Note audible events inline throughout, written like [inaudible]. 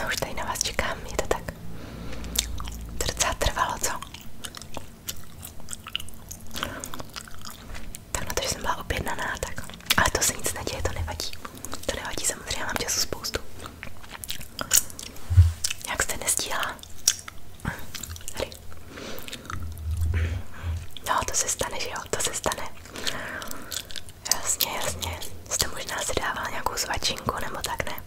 No už tady na vás čekám, je to tak. To docela trvalo, co? Tak na to, že jsem byla objednaná, tak. Ale to se nic neděje, to nevadí. To nevadí, samozřejmě mám času spoustu. Jak jste nestíhala? Tady. No, to se stane, že jo, to se stane. Jasně, jasně. Jste možná si dával nějakou svačinku nebo tak, ne?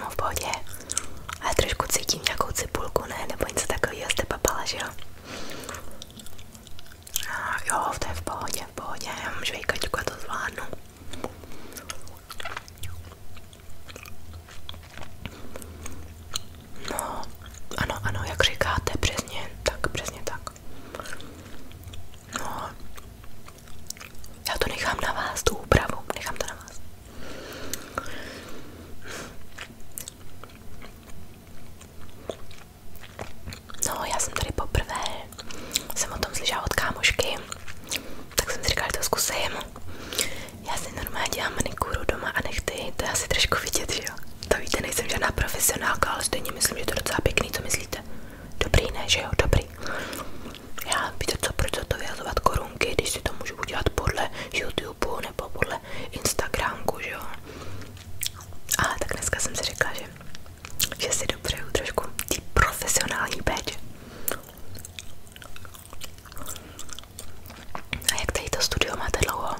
No v pohodě. Ale trošku cítím nějakou cipulku, ne? Nebo něco takového jste papala, že jo? A jo, to je v pohodě, v pohodě. Já mám žvejkačku a to zvládnu. No, ano, ano, jak říkáte, přesně tak, přesně tak. No, já to nechám na vás, tu úpravu, nechám to na vás. No, já jsem tady poprvé, jsem o tom slyšela od kámošky, tak jsem si říkala, že to zkusím. Já si normálně dělám manikuru doma a nechty, to je asi trošku vidět, že jo? To víte, nejsem žádná profesionálka, ale stejně myslím, že to je docela pěkný, co myslíte? Dobrý, ne, že jo? Dobrý. Já víte co, proč to vyhazovat korunky, když si to můžu udělat podle YouTubeu nebo podle Instagramku, že jo? Ale tak dneska jsem si řekla, že, že si dopřeju trošku ty profesionální péče. A jak tady to studio máte dlouho?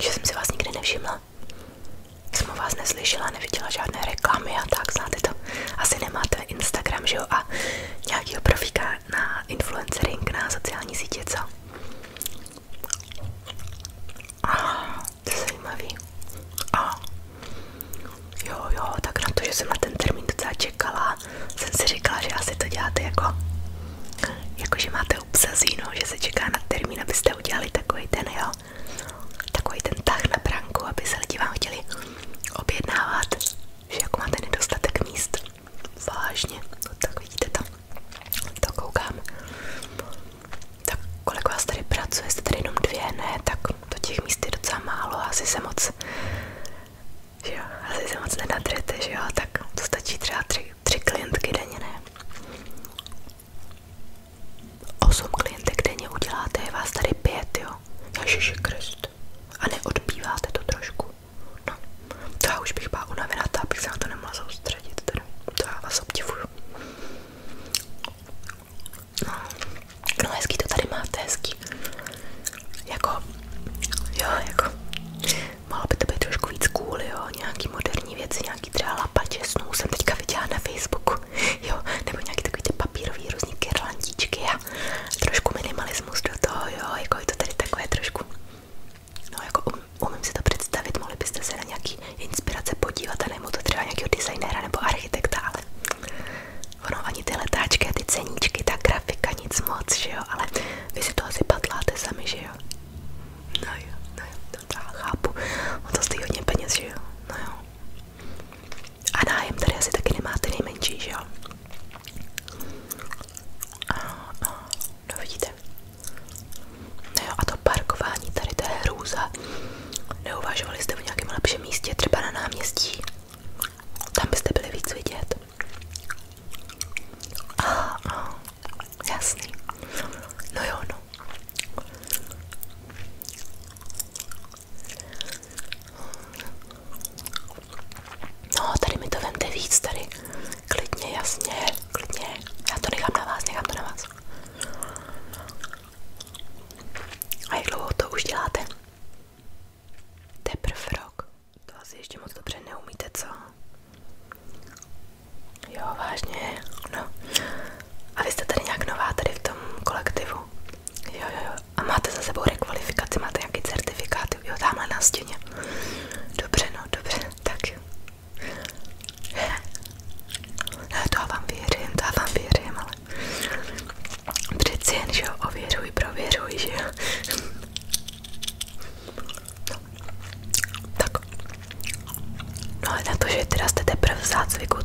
Že jsem si vás nikdy nevšimla. Jsem o vás neslyšela, neviděla žádné reklamy a tak, znáte to. Asi nemáte Instagram, že jo? A nějakýho profíka na influencering, na sociální sítě, co? A to je zajímavý. A jo, jo, tak na to, že jsem na ten termín docela čekala, jsem si říkala, že asi to děláte jako, jako že máte obsazíno, že se čeká na termín, abyste udělali takový ten, jo, takový ten tah na branku, aby se lidi vám chtěli objednávat, že jako máte nedostatek míst. Vážně, no tak vidíte to, to koukám. Tak kolik vás tady pracuje, jste jenom dvě, ne, tak to těch míst je docela málo, asi se moc že jo, asi se moc nenatrete, že jo, tak to stačí třeba tři, tři klientky denně, ne? Osm klientek denně uděláte, je vás tady pět, jo, Ježiši Krist, a neodbýváte to trošku, no, to já už bych byla unavená, to abych se na to nemohla soustředit, teda, to já vás obdivuju. No, no hezký to tady máte, hezký. Jako, jo, jako, mohlo by to být trošku víc cool, jo, nějaký moderní věci, nějaký třeba lapače snů jsem teďka viděla na Facebooku, [laughs] jo, nebo nějaký takový papírový různý kyrlantíčky a trošku minimalismus do toho, jo, jako to tady takové trošku, no jako um, umím si to představit, mohli byste se na nějaký inspirace podívat a nebo to třeba nějakého nebo architekta, ale ono letáčky ty ceníčky, ta grafika, nic moc, jo, ale vy to asi patláte sami, No jo, no jo, to já On to stojí hodně peněz, že No jo. A nájem tady asi taky nemáte nejmenší, že no, vidíte. No jo, a to parkování tady, to je hrůza. Neuvažovali jste v nějakém lepším místě, třeba na náměstí? Tam byste byli víc vidět. A, ah, a, ah, jasný. No jo, no. No, tady mi to vemte víc, tady klidně, jasně, klidně. Já to nechám na vás, nechám to na vás. A jak dlouho to už děláte? Teprv rok. To asi ještě moc dobře neumíte, co? Jo, vážně, no. A vy jste tady nějak nová tady v tom kolektivu? Jo, jo, jo. A máte za sebou rekvalifikaci, máte nějaký certifikát? Jo, tamhle na stěně. Dobře, no, dobře, tak jo. Ne, to já vám věřím, to já vám věřím, ale přeci jen, že jo, ověřuj, prověřuj, že jo. Tak. No ale na to, že teda jste teprve v zácviku,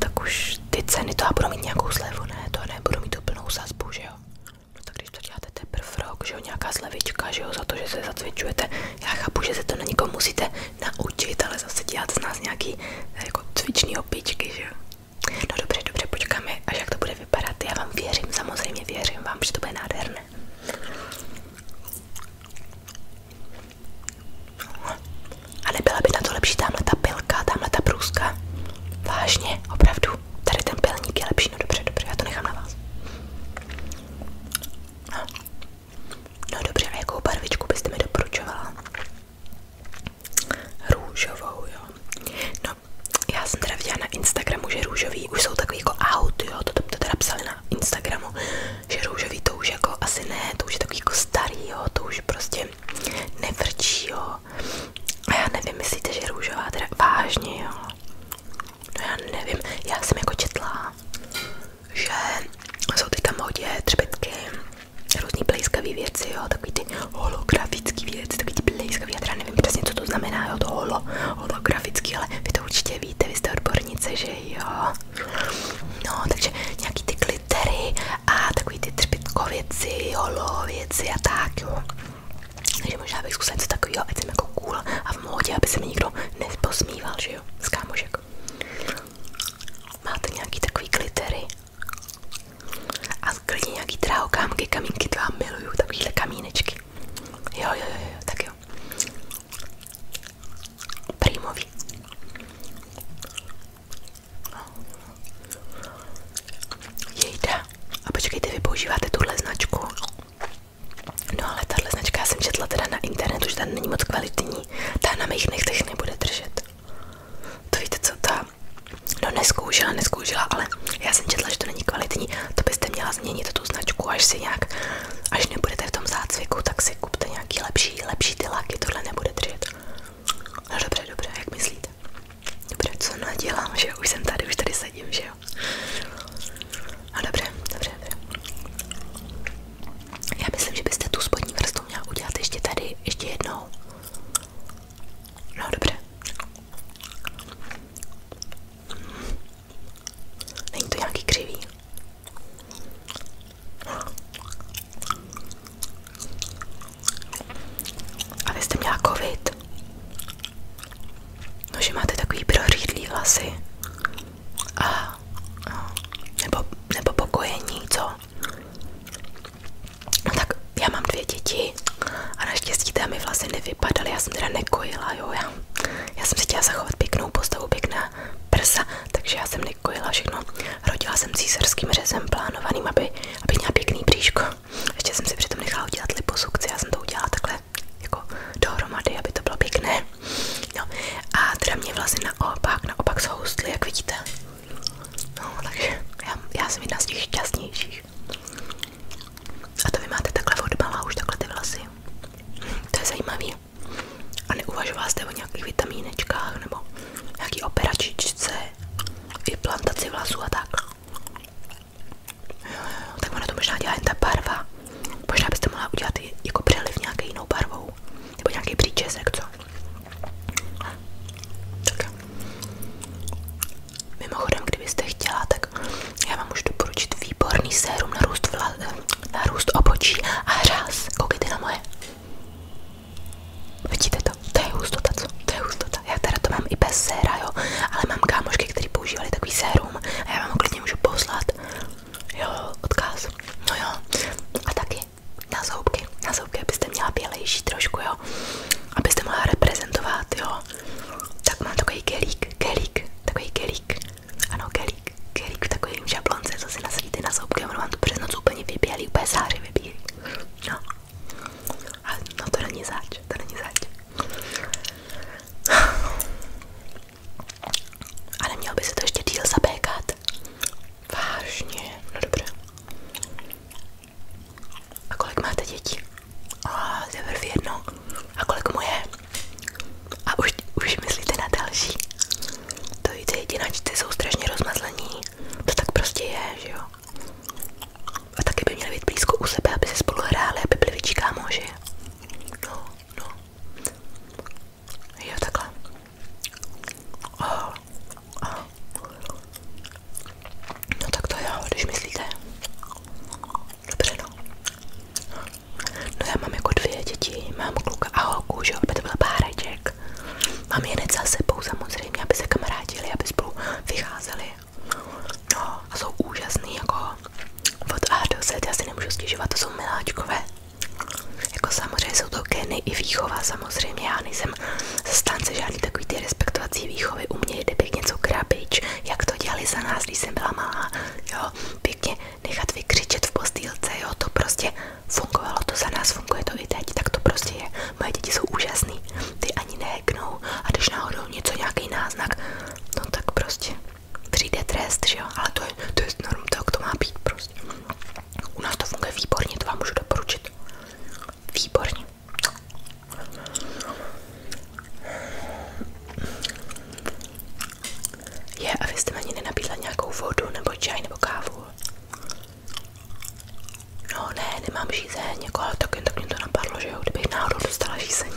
ty ceny to já budu nějakou slevu, ne? To nebudu mít tu plnou sazbu, že No tak když to teprve rok, že nějaká slevička, že za to, že se zacvičujete, já chápu, že se to na někom musíte naučit, ale zase dělat z nás nějaký eh, jako cvičný opičky, že No dobře, dobře, počkáme, až jak to bude bude vypadat. Já vám věřím, samozřejmě věřím vám, že to bude nádherné. A nebyla by na to lepší tamhle ta pilka, tamhle ta průzka? Vážně, opravdu. Tady ten pilník je lepší, no dobře, dobře, já to nechám na vás. No dobře, a jakou barvičku byste mi doporučovala? Růžovou, jo. No já jsem teda viděla na Instagramu, že růžový jsou takový jako out, to, to, to teda psali na Instagramu, že růžový to už jako asi ne, to už je jako starý, to už prostě nevrčí, A já nevím, myslíte, že růžová teda vážně, No já nevím, já jsem jako četla, že jsou teďka modě třpetky, různý plejskavý věci, jo, takový ty holografický věc, takový ty blízkavý, já teda nevím přesně, co to znamená, jo, to holo, holografický, ale vy to určitě víte, vy jste odbornice, že jo. No, takže nějaký ty glittery a takový ty třpitkověci, holověci a tak, jo. Takže možná bych zkusila něco takového, ať jsem jako cool a v módě, aby se mi nikdo neposmíval, že jo, z kámošek. Máte nějaký takový glittery a klidně nějaký dráhokámky, kamínky, to já miluju, takovýhle kamínky kamínečky. Jo, jo, jo, jo, tak jo. Prýmový. Jejda. A počkejte, vy používáte tuhle značku. No ale tahle značka já jsem četla teda na internetu, že ta není moc kvalitní. Ta na mých nechtech nebude držet. To víte co, ta třeba No neskoušela, neskoušela, ale já jsem četla, že to není kvalitní, to byste měla změnit tu značku, až si nějak, až nebudete v tom zácviku, tak si kupte nějaký lepší, lepší ty laky, tohle nebude držet. No dobře, dobře, jak myslíte? Dobře, co nadělám, že už jsem tady, už tady sedím, že jo? No dobře, dobře, dobře. Já myslím, že byste tu spodní vrstvu měla udělat ještě tady, ještě jednou. No dobře, Není to nějaký křivý. A vy jste měla covid. No, že máte takový prořídlý vlasy. A, a nebo, nebo pokojení, co? tak já mám dvě děti a naštěstí té vlastně nevypadaly, já jsem teda nekojila, jo, já, já jsem si chtěla zachovat pěknou postavu, pěkná prsa, takže jsem nekojila všechno, rodila jsem císařským řezem plánovaným, aby, aby měla pěkný bříško, ještě jsem si přitom nechala udělat liposukci, já jsem to udělala takhle jako dohromady, aby to bylo pěkné, no, a teda mě vlastně naopak, naopak zhoustly, jak vidíte, no, takže já, já jsem jedna z těch šťastnějších víš. A to vy máte takhle odbalá už takhle ty vlasy. To je zajímavý. A neuvažovala jste o nějakých vitamínečkách nebo nějaký operačičce, implantaci vlasů a tak. Jo, jo, tak ono to možná dělá jen ta barva. Možná byste mohla udělat jako přeliv nějakou jinou barvou. Nebo nějaký příčesek, co? Tak. Mimochodem, kdybyste chtěla, tak já vám můžu doporučit výborný sérum na růst, vla, na růst obočí a hřáz. Koukejte na moje. Vidíte to? To je hustota, co? To je hustota. Já teda to mám i bez séra, jo. Ale mám kámošky, který používali takový sérum a já vám ho klidně můžu poslat. Jo, odkaz. No jo. A taky na zoubky. Na zoubky byste měla bělejší trošku, jo abyste mohla reprezentovat, jo. Tak mám takový kelík, kelík, takový kelík, ano kelík, kelík v takovým žablonce, co si nasadíte na zoubky a ono vám to přes noc úplně vybělí, úplně záři vybílí, no. A no to není zač, to není zač. A nemělo by se to ještě díl zabékat. Vážně, no dobré. A kolik máte dětí? A teprve jedno. A kolik mu je? A už, už myslíte na další? To víte, jedináčci jsou strašně rozmazlení. To tak prostě je, že jo? A taky by měli být blízko u sebe, aby se spolu hráli, aby byli větší kámoši. No, no. Jo, takhle. Oh, Aha. No tak to jo, když myslíte. Dobře no. No já mám jako dvě děti, mám kluka a holku, že jo, aby to byl páreček. Mám jen za sebou samozřejmě, aby se kamarádili, aby spolu vycházeli. No a jsou úžasný jako od A do Z, já si nemůžu stěžovat, to jsou miláčkové. Jako samozřejmě jsou to geny i výchova, samozřejmě já nejsem zastánce žádný takový ty respektovací výchovy. U mě jde pěkně co krabič, jak to dělali za nás, když jsem byla malá, jo, pěkně nechat vykřičet v postýlce, jo, to prostě fungovalo, to za nás funguje to i teď, tak to prostě je. Moje děti jsou úžasný, ty ani neheknou a když náhodou něco, nějaký náznak, no tak prostě přijde trest, že jo, ale to je, to je norm, tak to má být prostě. U nás to funguje výborně, to vám můžu doporučit. Výborně. Je, a vy jste mi ani nenabídla nějakou vodu, nebo čaj, nebo kávu? No ne, nemám žízeň, jako, ale tak jen tak mě že jo, náhodou dostala žízeň.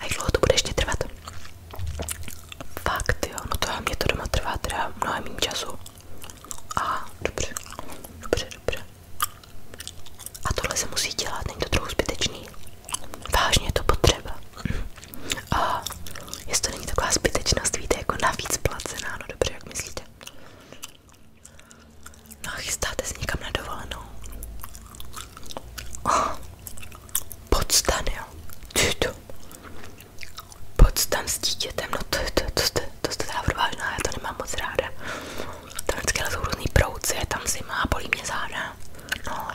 A jak to bude ještě Fakt jo, no to mě to doma trvá teda mnohem méně času. A dobře, dobře, dobře. A tohle se musí dělat, není to trochu zbytečný. Vážně je to potřeba. A jestli to není taková zbytečnost, víte, jako navíc placená, no dobře, jak myslíte? No a chystáte se někam na dovolenou. Oh, podstan, jo. Ty to. Pojď tam s dítětem, no to, to, to, to, to jste teda odvážná, já to nemám moc ráda. Tam vždycky jsou různý prouci, je tam zima, bolí mě záda. No,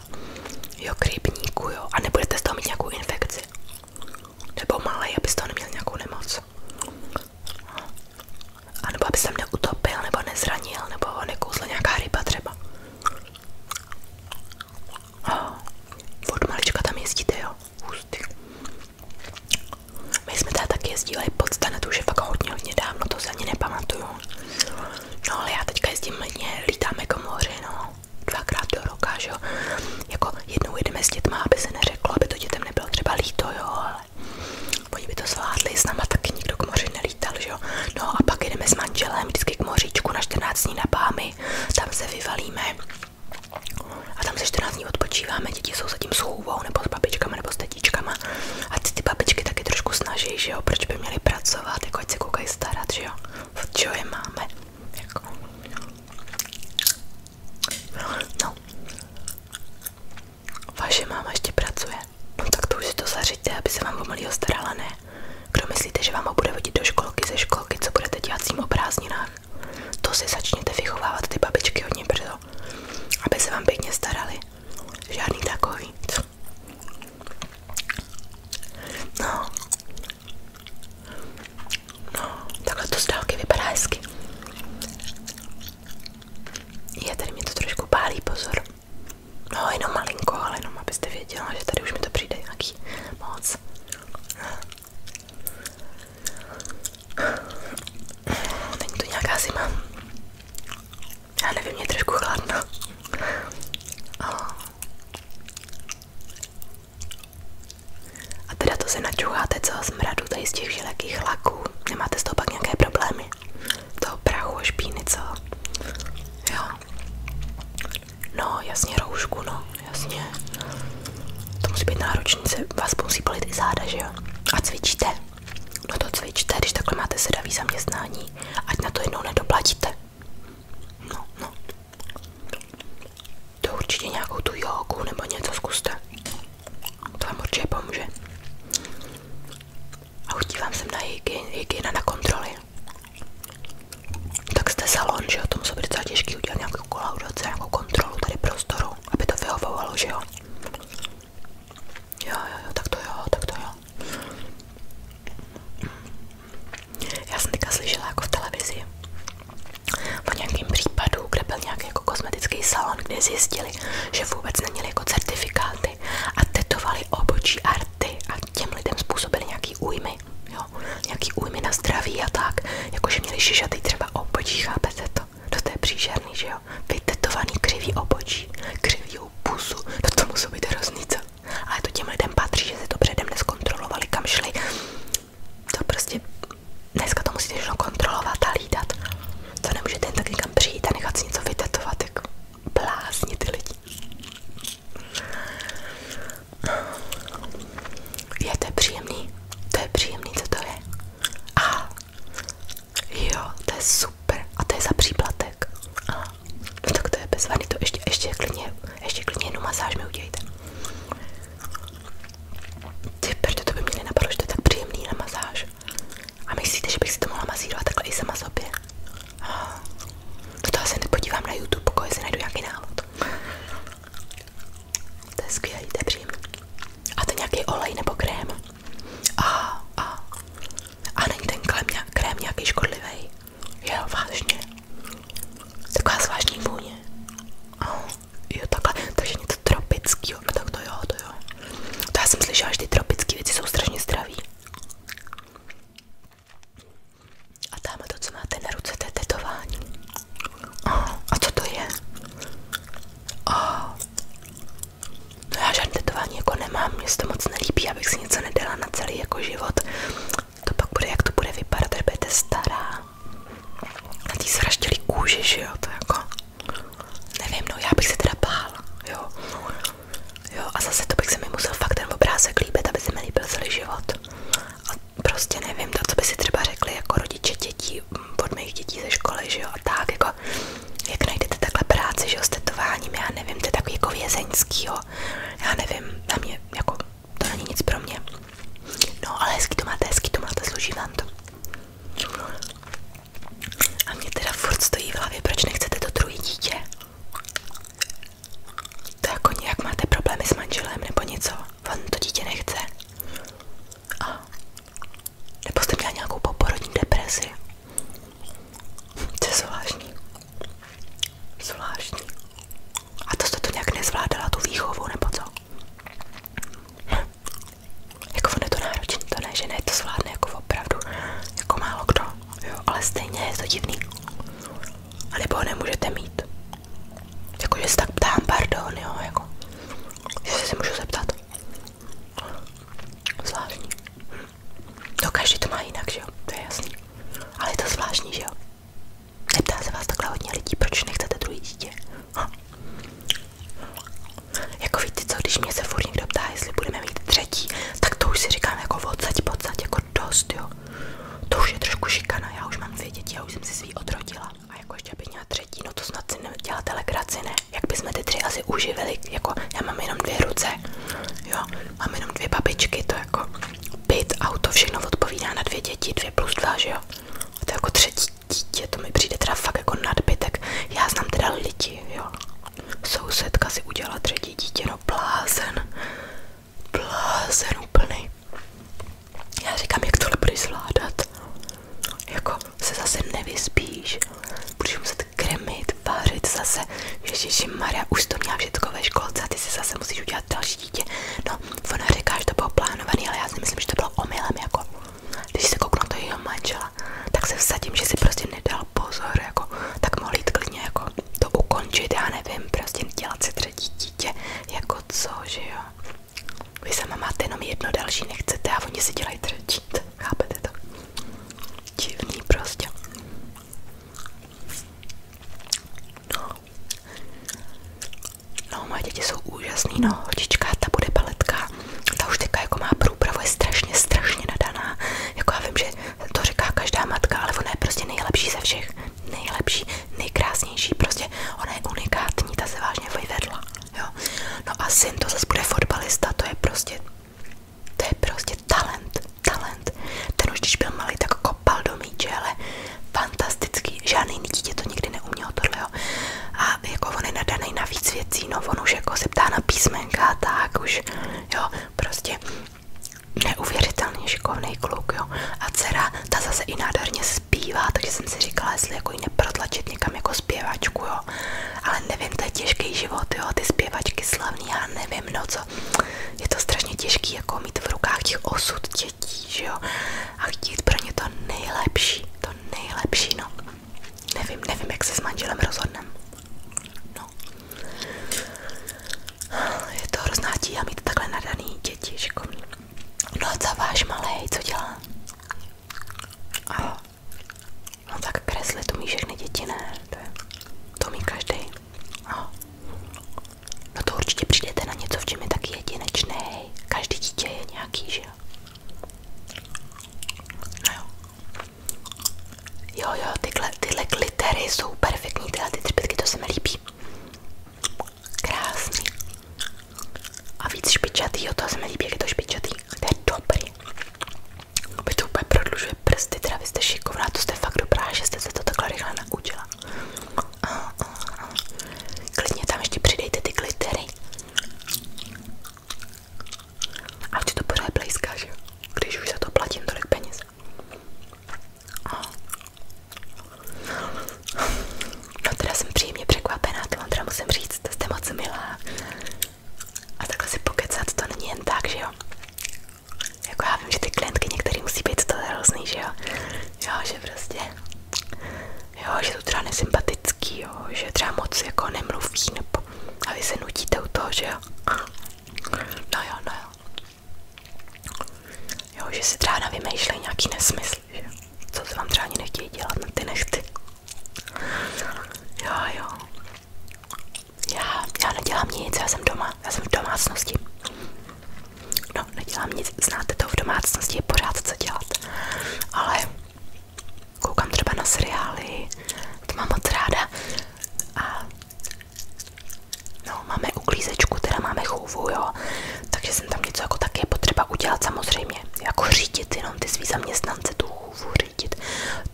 jo, krybníku, jo. A nebudete z toho mít nějakou infekci. Nebo malej, aby z toho neměl nějakou nemoc. No. A nebo aby se mě utopil, nebo nezranil, nebo ho nekouzla nějaká ryba třeba. Oh, od malička tam jezdíte, jo? hustý. My jsme teda taky jezdili pod na to už je fakt hodně, hodně dávno, to se ani nepamatuju. No ale já teďka jezdím hodně, lítáme k jako moři, no, dvakrát do roka, že jo. Jako jednou jedeme s dětma, aby se neřeklo, aby to dětem nebylo třeba líto, jo, ale oni by to zvládli, s náma taky nikdo k moři nelítal, že jo. No a pak jedeme s manželem vždycky k moříčku na 14 dní na Bámy, tam se vyvalíme a tam se 14 dní odpočíváme, děti jsou zatím s chůvou, nebo s babičkama, nebo s tatíčkama. A ty, ty babičky taky trošku snaží, že proč by měly pracovat, jako ať se koukají starat, že jo. je máme, jako. No. Vaše máma ještě pracuje. No tak to už to zařiďte, aby se vám o malýho ne? Kdo myslíte, že vám ho bude vodit do školky, ze školky, co budete dělat s ním to si začněte vychovávat ty babičky hodně brzo, aby se vám pěkně starali. Žádný takový. No. no to z dálky vypadá tady mě to trošku pálí, pozor. No, jenom malinko, ale jenom abyste věděla, že tady už mi to přijde nějaký moc. Není to nějaká zima. Já nevím, je trošku chladno. A teda to se načucháte co z mradu tady z těch žilekých laků. Nemáte z toho pak nějaké problémy? Toho prachu a špíny, co? Jo. No, jasně roušku, no, jasně. To musí být náročný, se vás musí bolit i záda, že jo? A cvičíte? No to cvičte, když takhle máte sedavý zaměstnání, ať na to jednou nedoplatíte. No, no. To určitě nějakou tu jogu nebo něco zkuste. To vám určitě pomůže. A udívám se na hygiena na kontroly tak jste salon, že jo, to muselo být docela těžký udělat nějakou nějakou kontrolu tady prostoru, aby to vyhovovalo, že jo. Jo, jo, tak to jo, tak to jo. Já jsem teďka slyšela jako v televizi o nějakém případu, kde byl nějaký jako kosmetický salon, kde zjistili, že vůbec neměli jako certifikáty a tetovali obočí arty a těm lidem způsobili nějaký újmy újmy, jo, nějaký újmy na zdraví a tak, jakože měli šišatý třeba obočí, chápete to? No to je příšerný, že jo, vytetovaný křivý obočí, křivý pusu, no to musí být hroznice. Ale to těm lidem patří, že si to předem neskontrolovali, kam šli. To prostě dneska to musíte všechno kontrolovat a lídat. To nemůžete jen tak někam přijít a nechat si něco vytetovat, jako blázni ty lidi. Je to příjemný? To je příjemný, co to je? A jo, to je super. A to je za příplatek. A, no tak to je bez vady, to ještě, ještě klidně, ještě klidně jednu masáž mi udějte. Ty proto to by mě nenapadlo, že to je tak příjemný na masáž. A myslíte, že bych si to mohla masírovat takhle i sama sobě? No to asi nepodívám na YouTube, pokud si najdu nějaký návod. To je skvělý, to je příjemný. A to nějaký olej nebo krém. A, a, a není ten krém, krém nějaký škodlivý. Jo, vážně. Taková zvláštní vůně. Oh, jo, takhle. Takže něco tropického. No tak to jo, to jo. To já jsem slyšela, že ty tropické věci jsou strašně zdraví. A tam to, co máte na ruce, to je tetování. Aha, a co to je? Aha. No já žádné tetování jako nemám, mě se to moc nelíbí, abych si něco nedala na celý jako život. To pak bude, jak to bude vypadat, až budete stará. Na tý sraštělý kůži, že jo, to jako... Nevím, no já bych se teda bála, jo. Jo, a zase to bych se mi musel fakt ten obrázek líbit, aby se mi líbil celý život. A prostě nevím, to, co by si třeba řekli jako rodiče dětí, mm, od mých dětí ze školy, že jo, a tak, jako, jak najdete takhle práci, že jo, s tetováním, já nevím, to je takový jako vězeňský, jo, já nevím, na mě, jako, to není nic pro mě. No, ale hezky to máte, hezky to máte, služí vám to. A mě teda furt stojí v hlavě, proč nechcete to druhé dítě. To jako nějak máte problémy s manželem nebo něco? On to dítě nechce? A nebo jste měla nějakou poporodní depresi? To je zvláštní. Zvláštní. A to jste to nějak nezvládala, tu výchovu nebo co? Hm. Jako on je to náročný, to ne, že ne, to zvládne jako opravdu, jako málo kdo, jo, ale stejně je to divný anebo ho nemůžete mít. Jakože se tak ptám, pardon, jo, jako, jestli se můžu zeptat. Zvláštní. To no, každý to má jinak, že jo, to je jasný. Ale je to zvláštní, že jo. Neptá se vás takhle hodně lidí, proč nechcete druhý dítě. Ha. Jako víte co, když mě se furt někdo ptá, jestli budeme mít třetí, tak to už si říkám jako odsaď, podsaď, jako dost, jo. To už je trošku šikana, já už mám dvě děti, já už jsem si svý odrodila. A jako ještě abych měla třetí, no to snad si neděláte legraci, ne? Jak bychom ty tři asi uživili, jako já mám jenom dvě ruce, jo, mám jenom dvě babičky, to jako byt, auto, všechno odpovídá na dvě děti, dvě plus dva, že jo? A to jako třetí dítě, to mi přijde teda fakt jako nadbytek. Já znám teda lidi, jo. Sousedka si udělala třetí dítě, no blázen blázen Já říkám, jak tohle budeš zvládat. Jako se zase nevyspíš, budeš muset kremit, vařit zase. Ježiši Maria, už to měla všechno ve školce ty si zase musíš udělat další No, ona říká, plánovaný, ale já si myslím, že to bylo omylem, jako. Když se kouknu to jeho manžela, tak se vsadím, že si prostě nedal pozor, jako. Tak mohl jít klidně, jako, to ukončit, já nevím, prostě dělat si třetí dítě, jako co, že jo. Vy sama máte jenom jedno další, nechcete a oni si dělají třetí, chápete to? Divný prostě. No. no, moje děti jsou úžasný, no, holčička, ta bude baletka, ta už teďka jako má průpravu, strašně, strašně nadaná, jako já vím, to říká každá matka, ale ona je prostě nejlepší ze všech. Nejlepší, nejkrásnější, prostě ona je unikátní, ta se vážně vyvedla. Jo. No a syn to zase bude fotbalista, to je prostě, to je prostě talent, talent. Ten už když byl malý, tak kopal do míče, ale fantastický, žádný jiný dítě to nikdy neumělo tohle. A jako on je nadaný na víc věcí, no on už jako se ptá na písmenka a tak už, jo, prostě neuvěřitelně šikovný kluk, jo. A dcera, ta zase i nádherně zpívá, takže jsem si říkala, jestli jako ji neprotlačit někam jako zpěvačku, jo. Ale nevím, to je těžký život, jo, ty zpěvačky slavný, já nevím, no co. Je to strašně těžký, jako mít v rukách těch osud dětí, že jo. A chtít pro ně to nejlepší, to nejlepší, no. Nevím, nevím, jak se s manželem rozhodnem. No. Je to hrozná tíha mít takhle nadaný děti, šikovný. No a co váš malej, co dělá? Aho. No tak kreslit umí všechny děti, ne? To, je, to umí každý. Aho. No to určitě přijdete na něco, v čem je taky jedinečný. Každý dítě je nějaký, že jo? No jo. Jo, jo, tyhle, tyhle glittery jsou perfektní, tyhle ty třpitky, to se mi líbí. Krásný. A víc špičatý, jo, to se mi líbí, jak je to špičatý. To je dobrý. Vy to úplně prodlužuje prsty, teda vy jste šikovná, to jste fakt dobrá, že jste se to takhle rychle naučila. A, a, a. Klidně tam ještě přidejte ty glittery. A to pořád blízká, že jo? Když už za to platím tolik peněz. No teda jsem příjemně překvapená, to vám teda musím říct, to jste moc milá. A takhle si pokecat to není jen tak, že jo? Jako já vím, že ty klientky některý musí být to hrozný, že jo? Jo, že prostě, jo, že to třeba nesympatický, jo, že třeba moc jako nemluví, nebo a vy se nutíte u toho, že jo? No jo, no jo. Jo, že si třeba vymýšlej nějaký nesmysl, že? Co se vám třeba ani nechtějí dělat na no ty nechty. Jo, jo. Já, já nedělám nic, já jsem doma, já jsem v domácnosti. No, nedělám nic, znáte to, v domácnosti je pořád co dělat. Ale koukám třeba na seriály, to mám moc ráda. A No, máme uklízečku, teda máme chůvu, jo. Takže jsem tam něco jako taky potřeba udělat samozřejmě. Jako řídit jenom ty svý zaměstnance, tu chůvu řídit.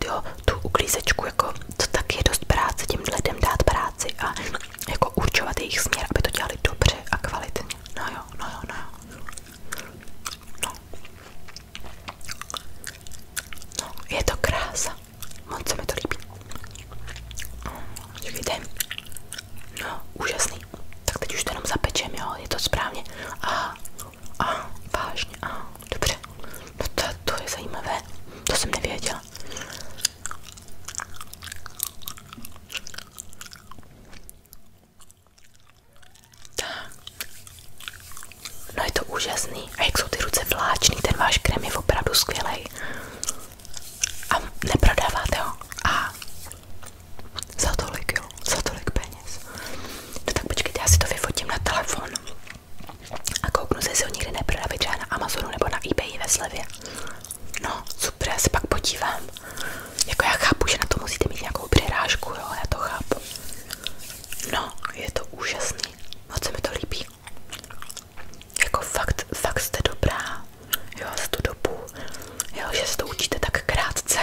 Jo, tu uklízečku, jako to taky dost práce, těm lidem dát práci a jako určovat jejich směr, aby to dělali dobře a kvalitně. No jo, no jo, no jo. No. No, je to krása. Moc se mi to líbí. Děkujte. No, úžasný. Tak teď už to jenom zapečem, jo, je to správně. A, a, vážně, a, dobře. No to, to je zajímavé, to jsem nevěděla. Tak. No je to úžasný. A jak jsou ty ruce vláčný, ten váš krém je opravdu skvělý. A neprodáváte ho. A za tolik, jo, za tolik peněz. No tak počkejte, já si to vyfotím na telefon. A kouknu se, jestli ho nikdy neprodávají třeba na Amazonu nebo na eBay ve slevě. No, super, já se pak podívám. Jako já chápu, že na to musíte mít nějakou přirážku, jo, já to chápu. No, je to úžasný. Moc se mi to líbí. Jako fakt, fakt jste dobrá, jo, za tu dobu, jo, že se to učíte tak krátce.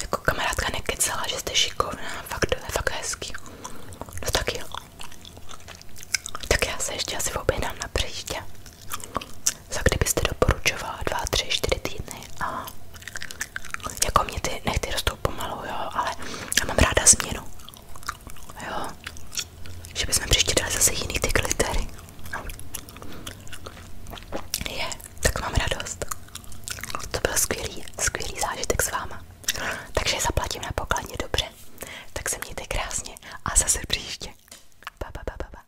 Jako kamarádka nekecela, že jste šikovná, fakt, fakt hezký. No tak jo. Tak já se ještě asi objednám na příště. Za kdybyste doporučovala dva, tři, čtyři týdny a jako mě ty nechty rostou pomalu, jo, ale já mám ráda změnu. Jo. Že bychom příště dali zase jiný ty glittery. Je, tak mám radost. To byl skvělý, skvělý zážitek s váma. Takže zaplatím na pokladně dobře. Tak se mějte krásně a zase příště. Pa, pa, pa, pa, pa.